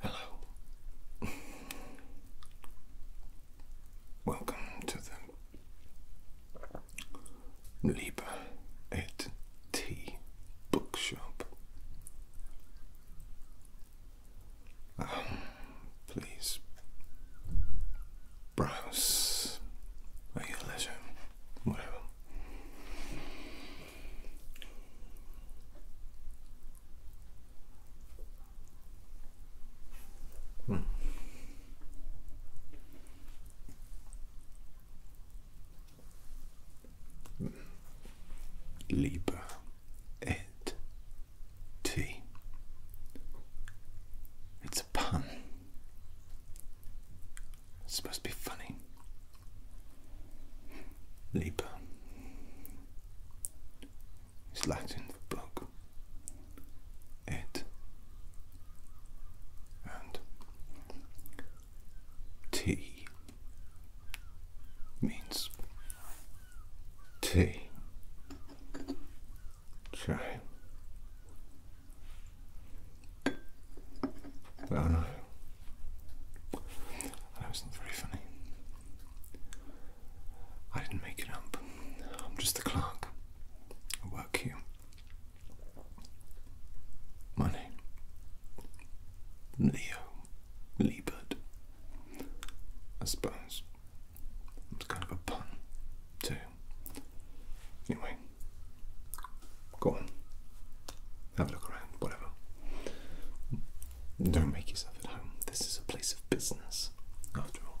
Hello. Welcome to the Leap It T Bookshop. Um, please browse at your leisure, whatever. Hmm. Libra et T. It's a pun. It's supposed to be funny. Libra. It's Latin for book. It. And T means T. So, well, no, that wasn't very funny. I didn't make it up. I'm just a clerk. I work here. My name Leo. Liebert, I suppose. It's kind of a pun, too. Anyway, go on. Have a look around, whatever. Don't make yourself at home. This is a place of business, after all.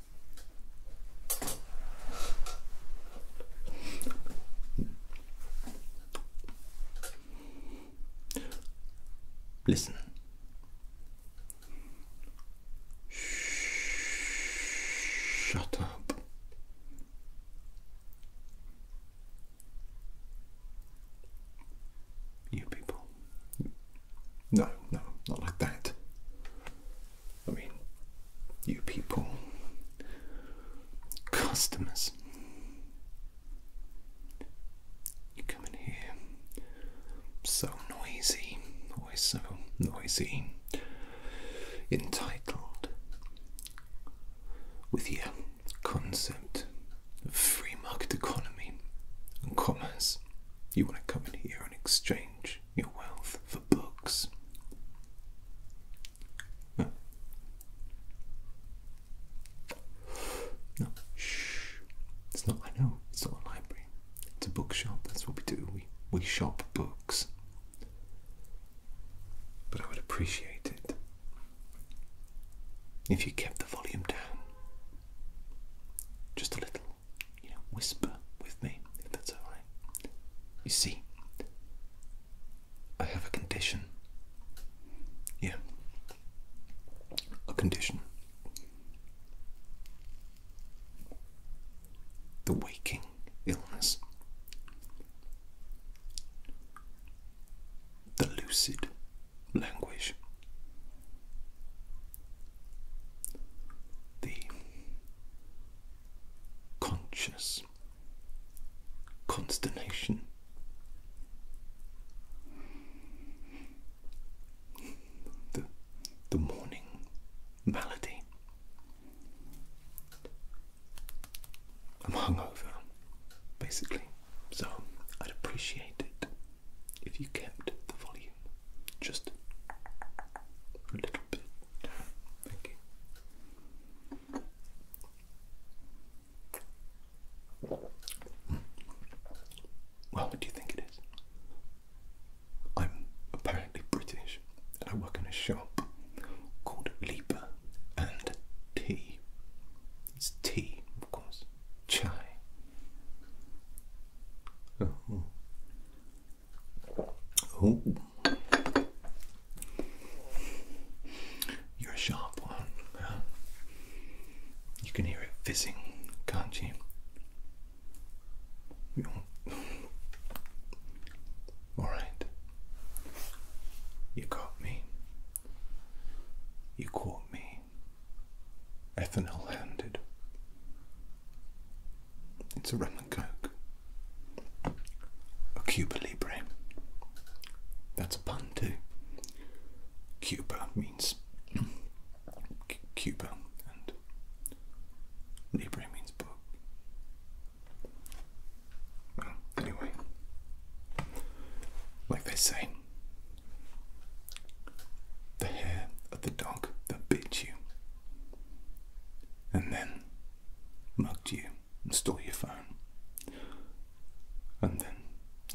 Listen. Shut up. You people. No, no, not like that. I mean, you people, customers, you come in here so noisy, always so noisy, entitled with your concept of free market economy and commerce. You want to come in here and exchange your wealth for books. No. Shh. It's not I know, it's not a library. It's a bookshop, that's what we do. We we shop books. But I would appreciate it if you kept the volume down just a little you know, whisper with me, if that's alright. You see, I have a condition. Yeah. A condition. The waking illness. The lucid language the conscious consternation. The, the morning malady. I'm hungover, basically, so I'd appreciate it if you kept the volume just a little bit. Thank you. Well, what do you think it is? I'm apparently British and I work in a shop called Leaper and Tea. It's tea, of course. Chai. Oh. Oh, you're You can hear it fizzing, can't you? All right, you got me. You caught me. Ethanol handed. It's a a Cuba Libre. That's a pun too. Cuba means Cuba and Libre means book. Well, anyway, like they say, the hair of the dog that bit you and then mugged you and stole your phone. And then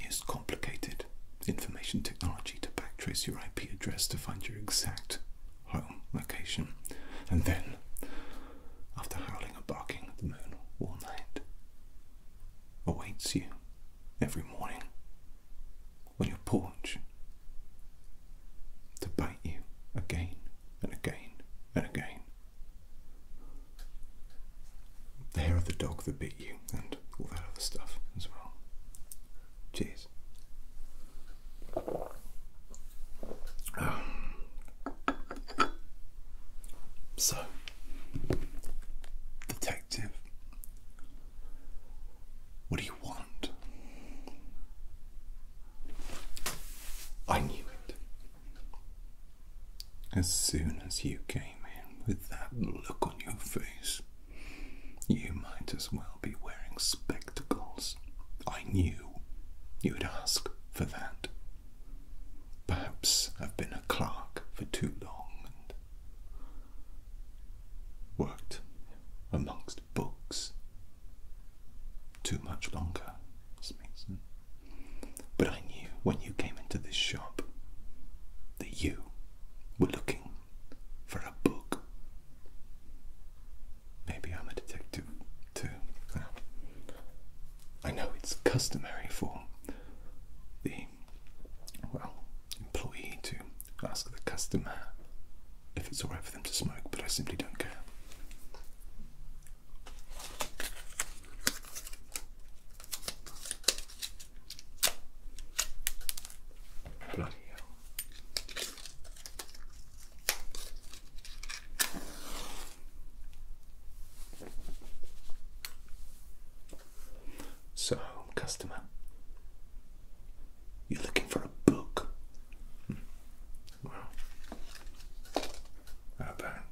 used complicated information technology to backtrace your IP address to find your exact home location. And then, after howling and barking at the moon all night, awaits you every morning on your porch to bite you again and again and again. The hair of the dog that bit you and all that other stuff as well. Cheers. Um, so, detective, what do you want? I knew it. As soon as you came in with that look on your face, you might as well be wearing spectacles. I knew you'd ask for that. Perhaps I've been a clerk for too long and worked amongst books too much longer, Mason. But I knew when you came into this shop that you were looking for a book. Maybe I'm a detective too. I know it's customary for the well employee to ask the customer if it's alright them to smoke, but I simply don't care. Bloody hell. So, customer, you're looking for a book. Hmm. Well, about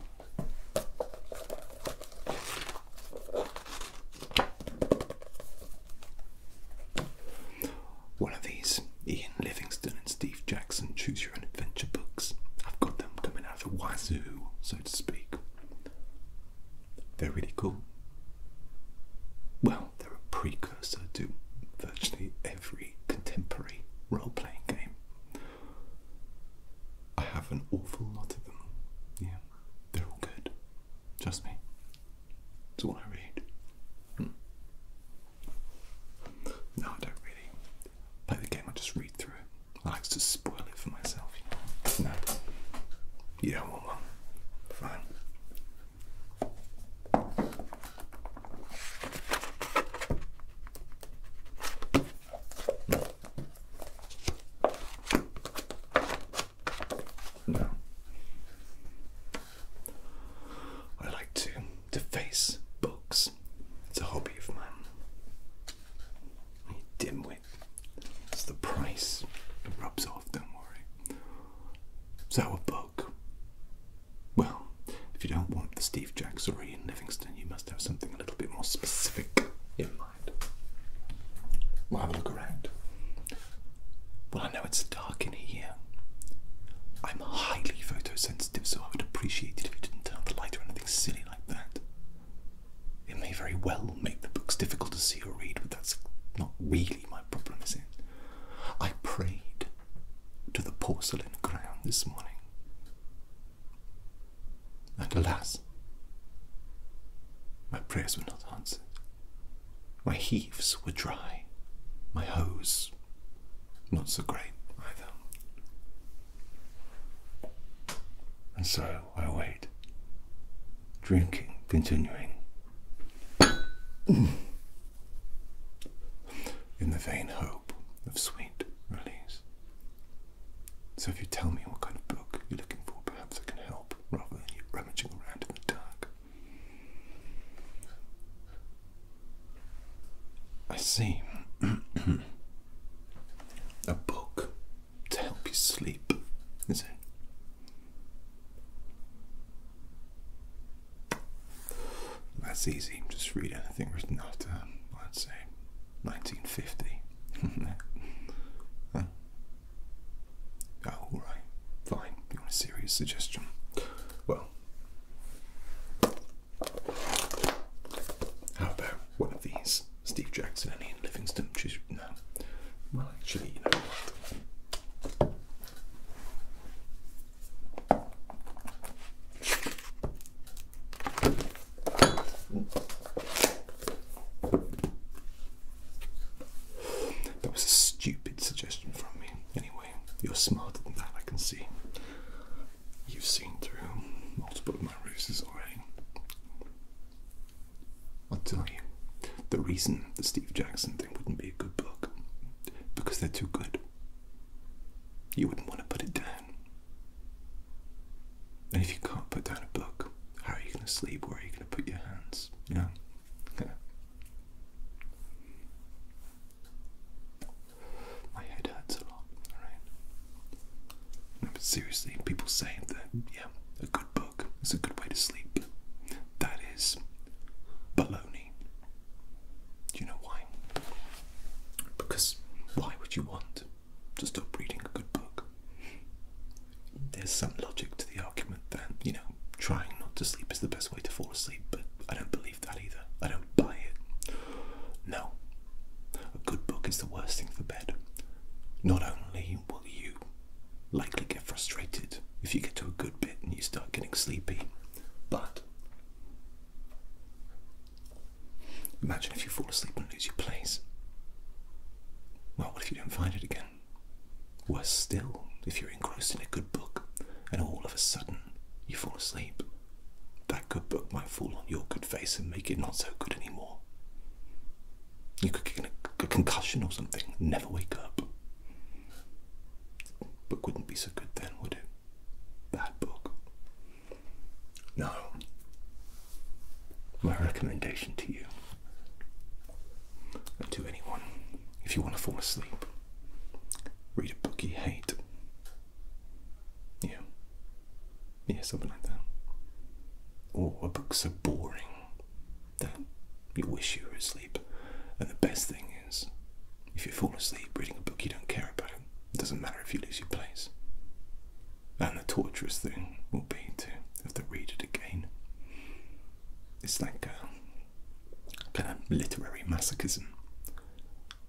one of these Ian Livingstone and Steve Jackson choose your own adventure books? I've got them coming out of Wazoo, so to speak. They're really cool. Well, they're a prequel I do virtually every contemporary role playing game. I have an awful lot of them. Yeah, they're all good. Trust me. It's all I read. Hmm. No, I don't really play the game, I just read through it. I like to spoil it for myself. No. You don't want one? Fine. Now, I like to deface books. It's a hobby of mine. Dimwit. It's the price. It rubs off, don't worry. So a book. Well, if you don't want the Steve Jacks or Ian Livingston, you must have something a little bit more specific in mind. We'll have a look around. Well, I know it's dark in here. I'm highly photosensitive, so I would appreciate it if you didn't turn the light or anything silly like that. It may very well make the books difficult to see or read, but that's not really my problem, is it? I prayed to the porcelain ground this morning. And alas, my prayers were not answered. My heaves were dry, my hose not so great either. And so I wait, drinking, continuing. in the vain hope of sweet release. So, if you tell me what kind of book you're looking for, perhaps I can help rather than you rummaging around in the dark. I see a book to help you sleep, is it? That's easy. Just read anything. I think it say, 1950. huh? Oh, all right. Fine. You want a serious suggestion? Well, how about one of these? Steve Jackson and Livingstone. no. Well, actually, you know what? That was a stupid suggestion from me. Anyway, you're smarter than that, I can see. You've seen through multiple of my ruses already. I'll tell you, the reason the Steve Jackson thing wouldn't be a good book, because they're too good you wouldn't want to put it down. And if you can't put down a book, how are you going to sleep? Where are you going to put your hands? You Yeah. My head hurts a lot, alright? but seriously, people say that, yeah, a good book is a good way to sleep. That is baloney. Do you know why? Because why would you want to stop reading a good book? There's some logic to the argument that, you know, trying not to sleep is the best way to fall asleep, but I don't believe that either. I don't buy it. No. A good book is the worst thing for bed. Not only will you likely get frustrated if you get to a good bit and you start getting sleepy, but Imagine if you fall asleep and lose your place. Well, what if you don't find it again? Worse still, if you're engrossed in a good book and all of a sudden you fall asleep, that good book might fall on your good face and make it not so good anymore. You could get a concussion or something, never wake up. Book wouldn't be so good then, would it? bad book. No. My recommendation to you and to anyone, if you want to fall asleep, read a book you hate. Yeah. Yeah, something like that. Or a book so boring that you wish you were asleep. And the best thing if you fall asleep reading a book you don't care about, it doesn't matter if you lose your place. And the torturous thing will be to have to read it again. It's like a kind of literary masochism.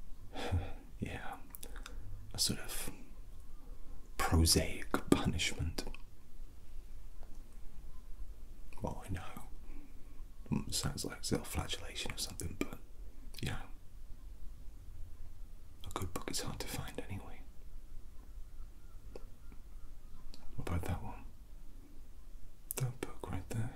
yeah, a sort of prosaic punishment. Well, I know sounds like a little flagellation or something, but yeah. a good book is hard to find anyway. about that one? That book right there.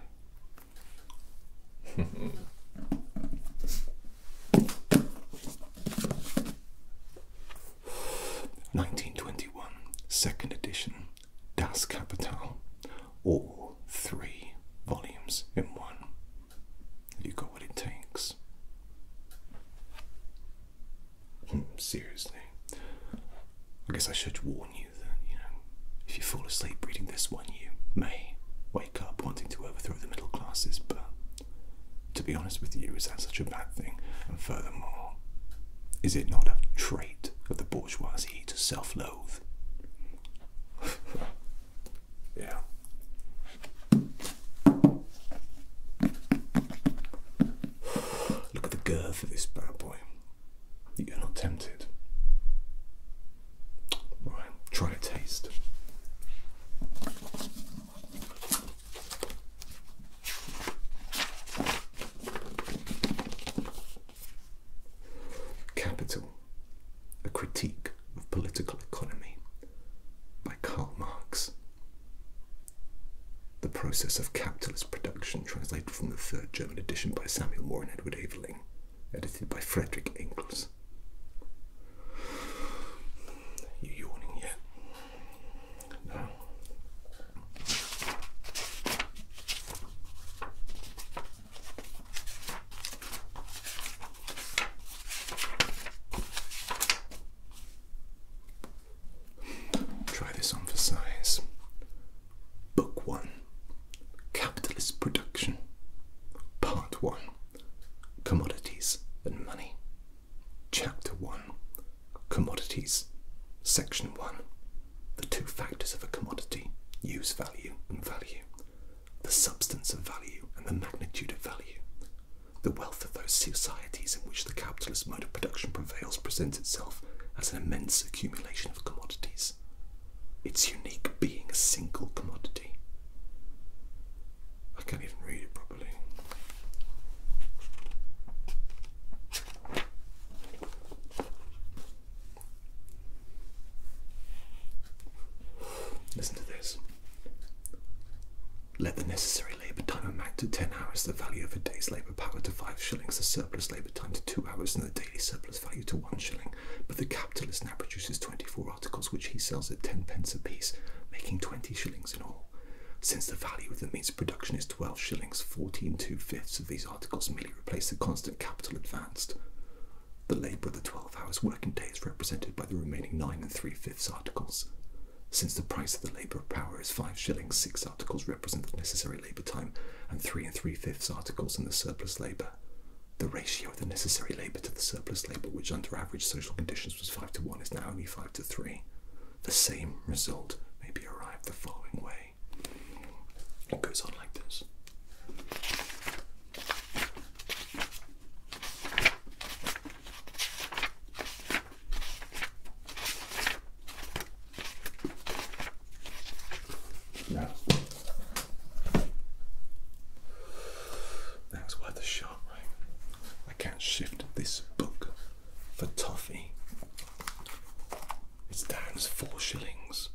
Nineteen twenty one, second edition, Das Kapital, all three volumes in one. Have you got what it takes? Hmm, seriously, I guess I should warn you that, you know, if you fall asleep reading this one, you may wake up wanting to overthrow the middle classes, but to be honest with you, is that such a bad thing? And furthermore, is it not a trait of the bourgeoisie to self love yeah. Look at the girth of this bad boy. You're not tempted. All right, try a taste. Capital A Critique of Political Economy by Karl Marx. The Process of Capitalist Production, translated from the third German edition by Samuel Moore and Edward Aveling, edited by Frederick Engels. You yawning yet? No. Try this on for size. Book one Capitalist Production, Part one Commodities and Money, Chapter one Commodities, Section one The two factors of a commodity use value and value the substance of value and the magnitude of value. The wealth of those societies in which the capitalist mode of production prevails presents itself as an immense accumulation of commodities, its unique being a single commodity. I can't even read it properly. Listen to this. Let the necessary labour time amount to 10 hours, the value of a day's labour power to 5 shillings, the surplus labour time to 2 hours, and the daily surplus value to 1 shilling. But the capitalist now produces 24 articles which he sells at 10 pence apiece, making 20 shillings in all. Since the value of the means of production is 12 shillings, fourteen fifths of these articles merely replace the constant capital advanced. The labour of the twelve hours working day is represented by the remaining nine and three fifths articles. Since the price of the labour power is five shillings, six articles represent the necessary labour time, and three and three fifths articles in the surplus labour. The ratio of the necessary labour to the surplus labour, which under average social conditions was five to one, is now only five to three. The same result may be arrived at the following way. It goes on like this. That was worth a shot, I can't shift this book for toffee. It stands four shillings.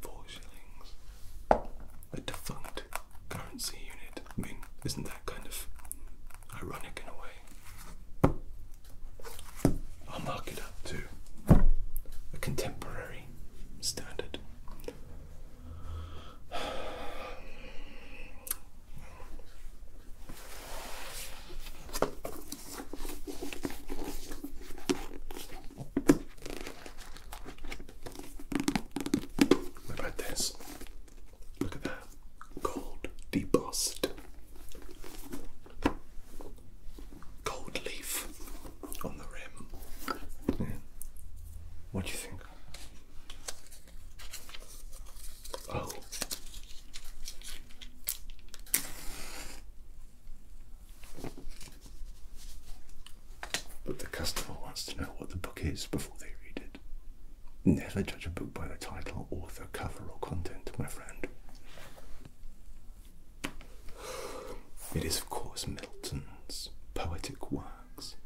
Four shillings. A defunct currency unit. I mean, isn't that kind of ironic in a way? I'll mark it up to a contemporary standard. What about this? Look at that. Gold debossed. Gold leaf on the rim. What do you think? Oh. But the customer wants to know what the book is before they read it. Never judge a book by the title, author, cover, or content, my friend. It is, of course, Milton's poetic works.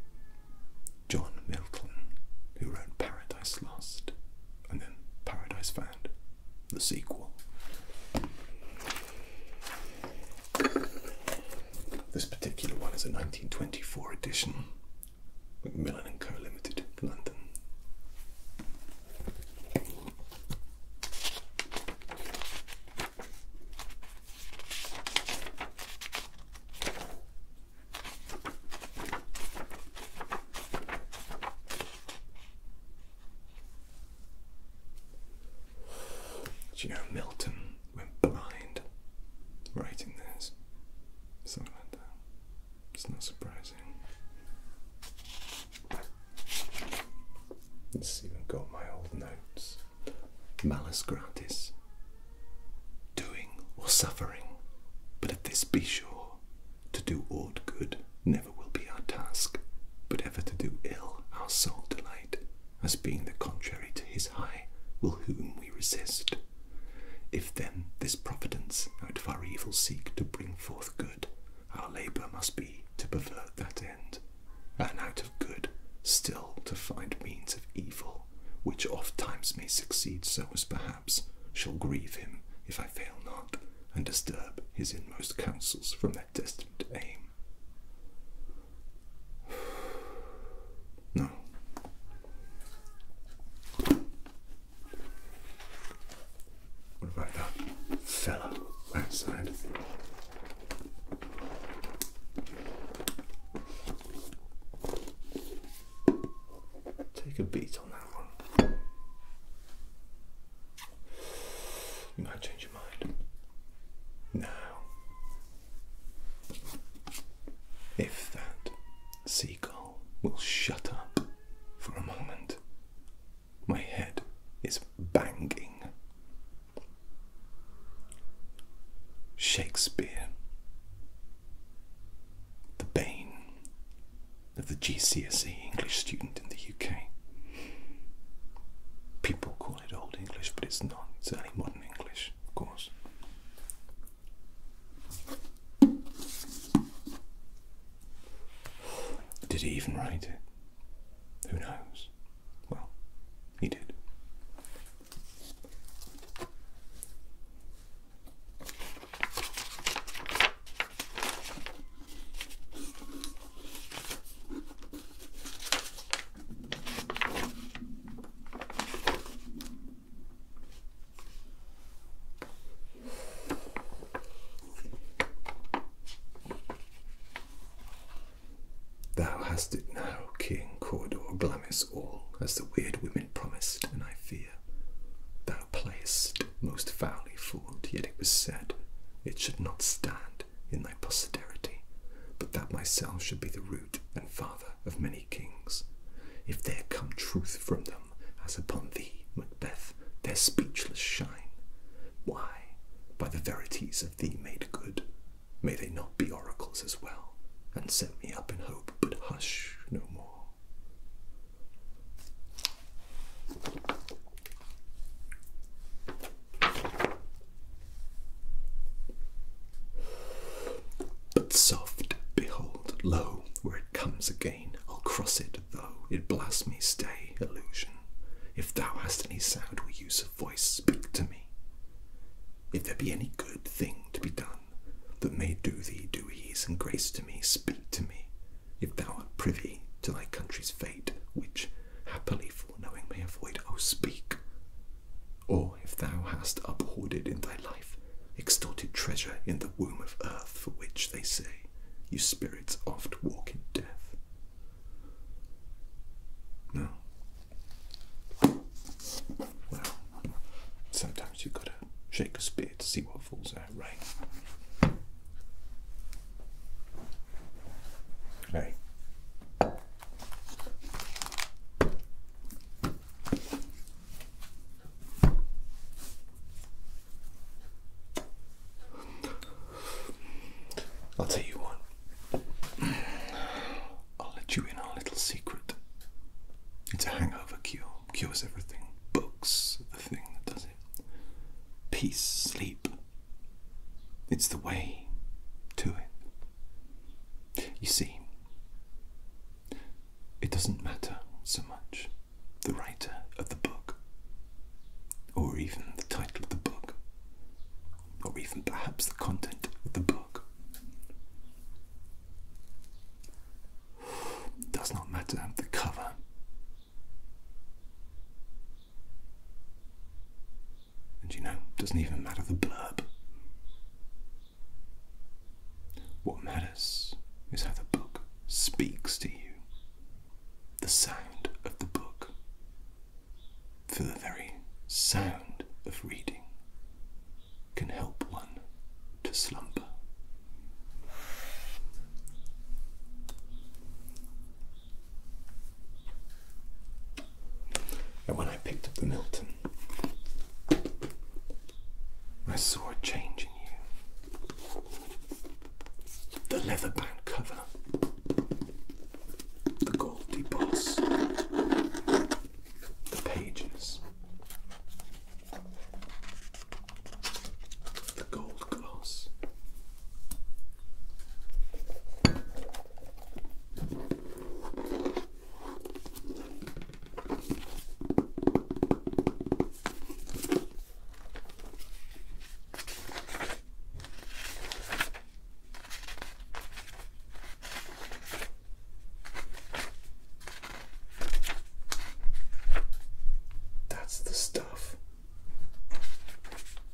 John Milton, who wrote Paradise Lost and then Paradise Found, the sequel. This particular one is a 1924 edition, Macmillan and Co. Limited, London. Do you know Milton went blind writing this? Something like that. It's not surprising. It's even got my old notes. Malus gratis. Doing or suffering, but of this be sure, to do aught good never will be our task, but ever to do ill our sole delight as being the contrary to his high, will whom we resist. If then this providence out of our evil seek to bring forth good, our labour must be to pervert that end, and out of good still to find means of evil, which oft times may succeed so as perhaps shall grieve him if I fail not, and disturb his inmost counsels from their their destined aim. No. What about that fellow outside? Take a beat on that one. You might change now, if that seagull will shut up for a moment, my head is banging. Shakespeare, the bane of the GCSE English student in the UK. People call Old English, but it's not. It's only modern English, of course. Did he even write it? Who knows? Well, he did. Thou hast it now, King Cawdor, glamis all, as the weird women promised, and I fear. Thou playest most foully fault, yet it was said it should not stand in thy posterity, but that myself should be the root and father of many kings. If there come truth from them, as upon thee, Macbeth, their speechless shine, why, by the verities of thee made good, may they not be oracles as well, and set me up in hope, but hush no more. But soft, behold, lo, where it comes again, I'll cross it, though it blast me, stay, illusion. If thou hast any sound or use of voice, speak to me. If there be any good thing to be done, that may do thee do ease and grace to me, speak to me. If thou art privy to thy country's fate, which happily foreknowing may avoid, O oh, speak. Or if thou hast uphoarded in thy life extorted treasure in the womb of earth, for which they say, you spirits oft walk in death. No. Well, sometimes you've got to shake a spear to see what falls out, right? Hey. I'll tell you what. I'll let you in a little secret. It's a hangover cure. Cures everything. Books, the thing that does it. Peace, sleep, it's the way to it. You see, it doesn't matter so much the writer of the book, or even the title of the book, or even perhaps the content of the book. It does not matter the cover. And you know, doesn't even matter the blurb. What matters is how the book speaks to you. The sound of the book. For the very sound of reading can help one to slumber. And when I picked up the Milton, I saw a change in you. The leather bound cover, the gold deboss, the pages, the gold gloss. That's the stuff.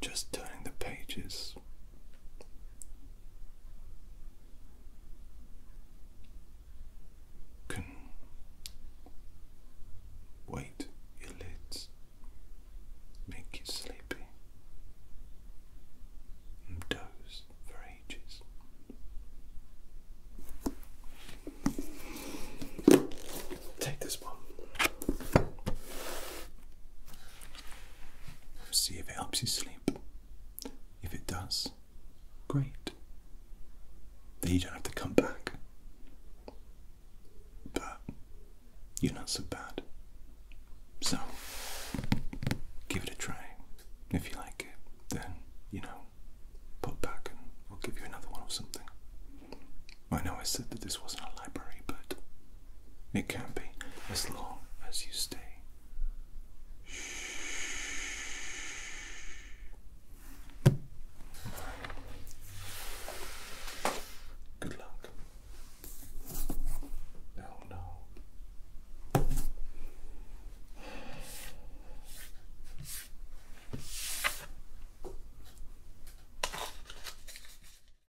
Just turning the pages can wait your lids, make you sleepy, and doze for ages. Take this one. See if it helps you sleep. If it does, great. Then you don't have to come back. But you're not so bad. So, give it a try. If you like it, then, you know, put back and we'll give you another one or something. I know I said that this wasn't a library, but it can be as long as you stay. Good luck. Oh no.